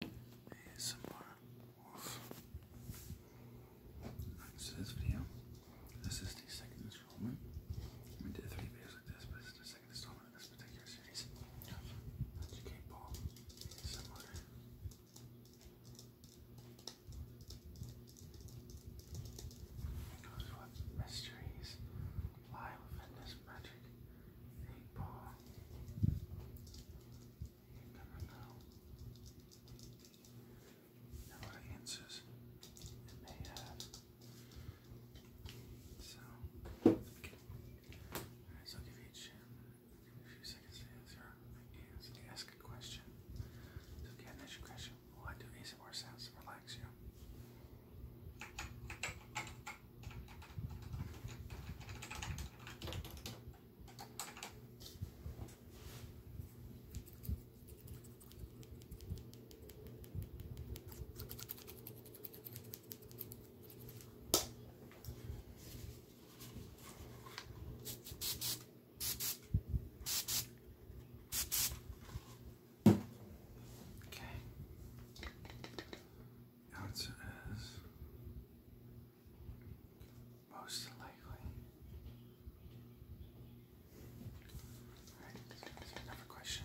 ASMR Wolf. So this is the second installment. We did three videos like this, but this the second installment of this particular series. Educate Ball ASMR. It goes with mysteries, live magic, you So, I'll give each a few seconds to answer. ask a question. So, again, question. Will I do ASMR sounds relax you? Okay. Answer is. Most likely. Alright, another question.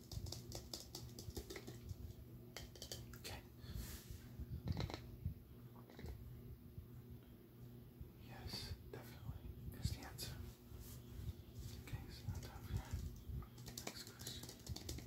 Okay. Yes, definitely is the answer. Okay, next question. Okay.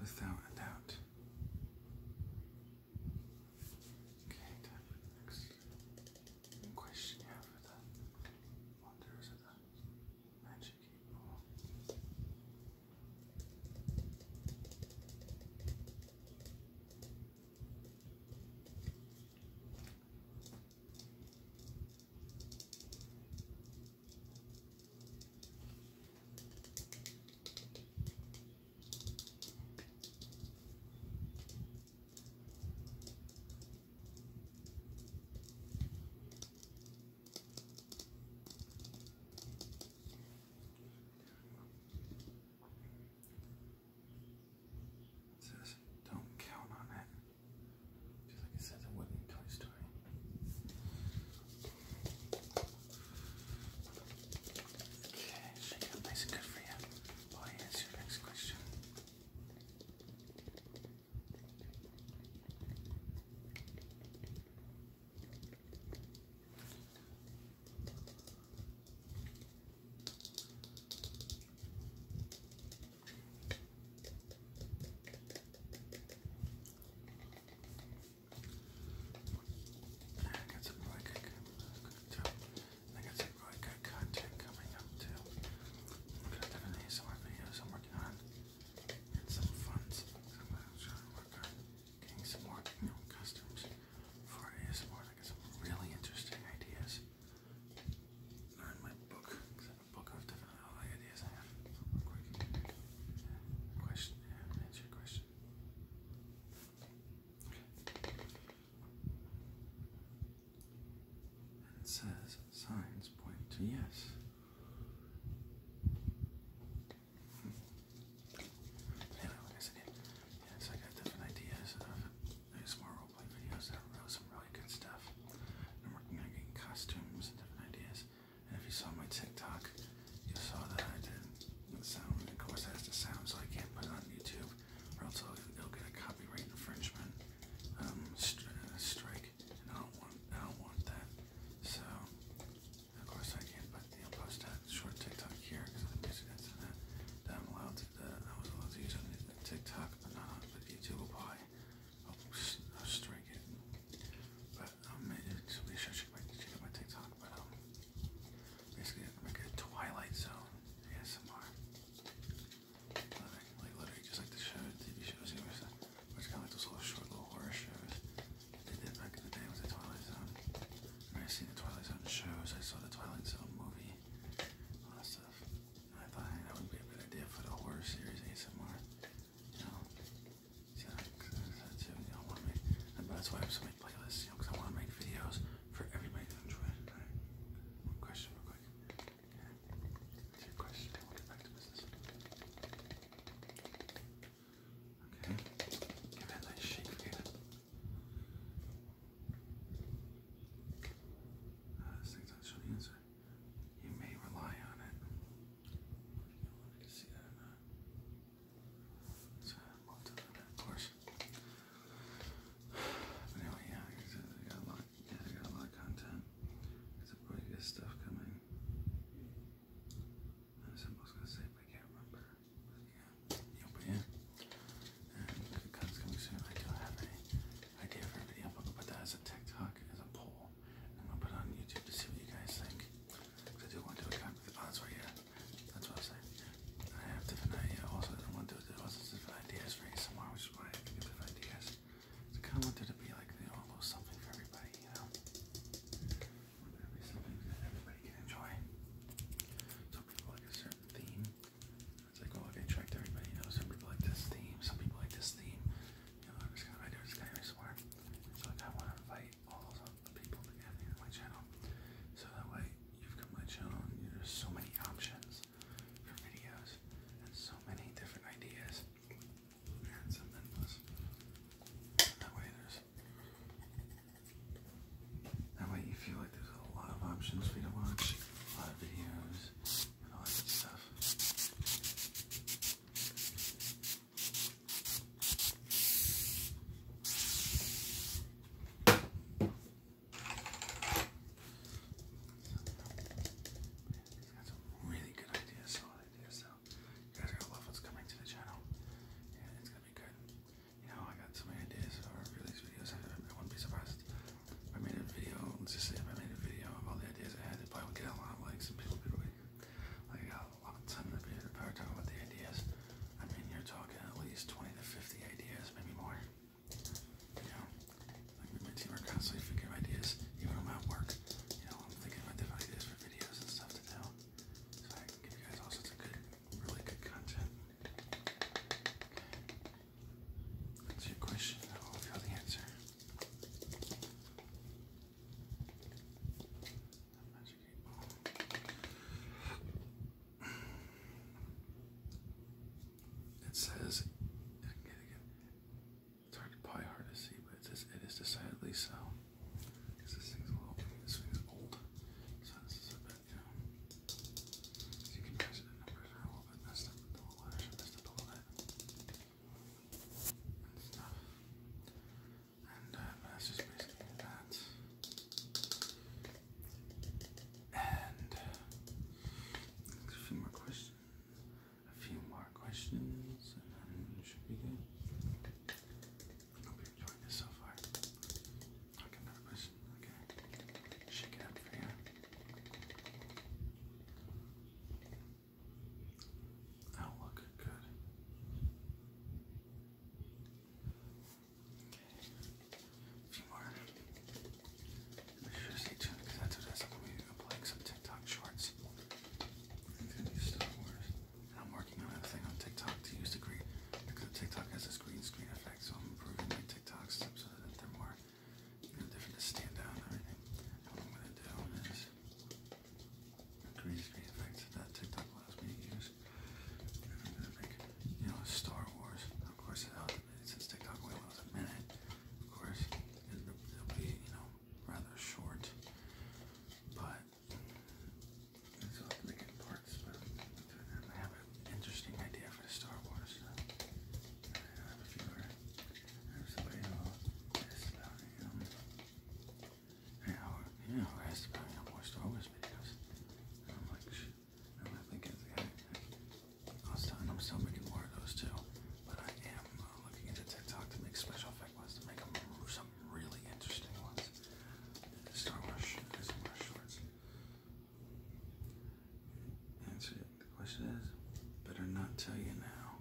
Without a doubt. Okay, next question you have for the wonders Magic eight it says, don't count on it. Just like it says it would Toy Story. Okay, shake it nice and good for you. Oh, here's your next question. I got some really good, good I got some really good content coming up too. I'm gonna definitely more videos I'm working on and some funds some trying to work on getting some more you customs for ASMR. I got some really interesting ideas. Not my book, book of different ideas I have. Question. answer your question. it says signs point to yes. I so I got different ideas of more roleplay videos that wrote some really good stuff. I'm working on getting costumes and different ideas. And if you saw my TikTok, you saw that I did the sound. of course, has the sound, so I can't put it on YouTube, or else i will it get a copyright infringement um, uh, strike. I don't want, I don't want that. So, of course, I can't put the post short TikTok here because I'm using it to that. I'm allowed to, that I was allowed to use on TikTok, but not on YouTube. Will probably I'll, uh, strike it. But um, so be sure to check, my, check my TikTok. But um, basically, I'm like a Twilight Zone ASMR. Like, like literally, just like the show, TV shows, which kind of like those little short little horror shows that back in the day with the Twilight Zone. And I seen the Twilight Zone shows, I saw the Twilight Zone movie, all that stuff. I thought that would be a good idea for the horror series ASMR. You know? See, that, too, you know, wanna that's why I have so many playlists, you know, because I want to make videos for everybody to enjoy. One question real quick. What's your question? I want to get back to business. Okay, give it a nice shake again. answer. You may rely on it. see that of course. anyway, yeah, I got a lot, yeah, I got a lot of content. There's some really good stuff coming. I was almost gonna say, but I can't remember. yeah, you'll be in. And because coming soon, I do have an idea for a video. I'm gonna put that as a TikTok, as a poll. I'm gonna put on YouTube to see what you guys think. Because I do want to do a kind of, oh, that's right, yeah. That's what I was saying. I have different ideas. Also, I want to do, also different ideas for ASMR, which is why I have different ideas. I kind of wanted to be like, almost something for everybody, you know? something that everybody can enjoy. Some people like a certain theme. It's like, oh, I can attract everybody, you Some people like this theme, some people like this theme. You know, i just kind of, I do kind of swear. So like, I want to invite all those people to get my channel. So that way, you've got my channel, and you know, so many options for videos and so many different ideas. That way you feel like there's a lot of options for you to watch, a lot of videos, all that good stuff. He's got some really good ideas, solid ideas so you guys are gonna love what's coming to the channel, it's gonna be good. You know, I got so many ideas for these videos. I, wouldn't be surprised I made a video. Let's just say if I made a video of all the ideas I had, it probably would get a lot of likes and people would be like, I got a lot of time to be here to talk about the ideas. I mean, you're talking at least 20 to 50 ideas, maybe more. You know, my team are constantly figuring ideas, even at work you know, I'm thinking about different ideas for videos and stuff to do. So I can give you guys all sorts of good, really good content. That's your question. I'll give you the answer. It says, it's hard to probably hard to see, but it's, decidedly so. Because this thing's a little, this thing's old, so this is a bit, you you can measure the a little bit messed up with the letters messed up a little bit and uh, that's just basically that. And a few more questions a few more questions should be good. hope you're enjoying this so far. another question. Okay. Shake it up for you. that good. Okay. A few more. Make sure stay tuned because that's what I'm going TikTok shorts. I'm working on a thing on TikTok to use the green because TikTok has this green screen effect, so I'm improving my TikTok stuff so that they're more different to stand out everything. what I'm gonna do is green screen effect that TikTok allows me to use. I'm gonna make, you know, Star Wars. Of course, since TikTok only allows a minute. Of course, it'll be, you know, rather short, but it's all the in parts. But I have an interesting idea for the Star Wars. I have a viewer. I have um, You know, you know more Star Wars videos. I'm like, I don't have more of those too, but I looking into TikTok to make special effect ones, to make them some really interesting ones. Star Wars, Star Wars shorts. Answer The question is, better not tell you now.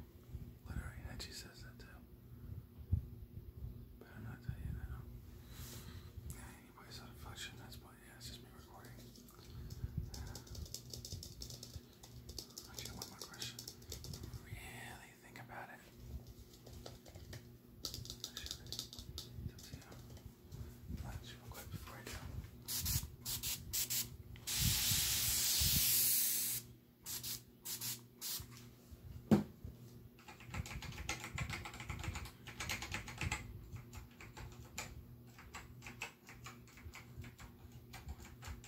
Literally, Hedgie says that too. Better not tell you now. Yeah, anybody's out of that's why, yeah, it's just me recording. Yeah. Actually, one more question. Really really think about it. Lunch real quick before I do. All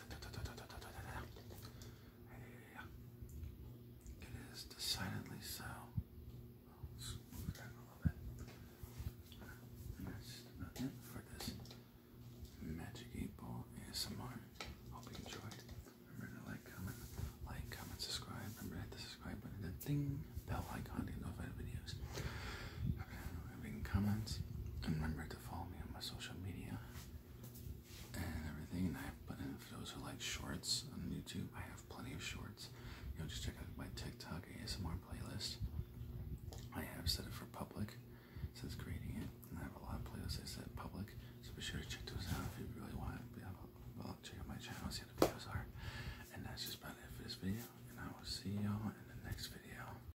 It is decidedly so. let move that a little bit. That's about it for this Magic 8 Ball ASMR. Hope you enjoyed. Remember to like, comment, like, comment, subscribe. Remember hit the subscribe button and ding bell icon to get notified videos. Okay leaving comments, and remember to follow me on my social media and everything. And I put in for those who like shorts on YouTube, I have plenty of shorts. You know, just check out my TikTok ASMR playlist. I have set it for public, so it's creating it, and I have a lot of playlists I set public. So be sure to check those out if you really want. But well, check out my channel, see what the videos are. And that's just about it for this video. And I will see y'all in the next video.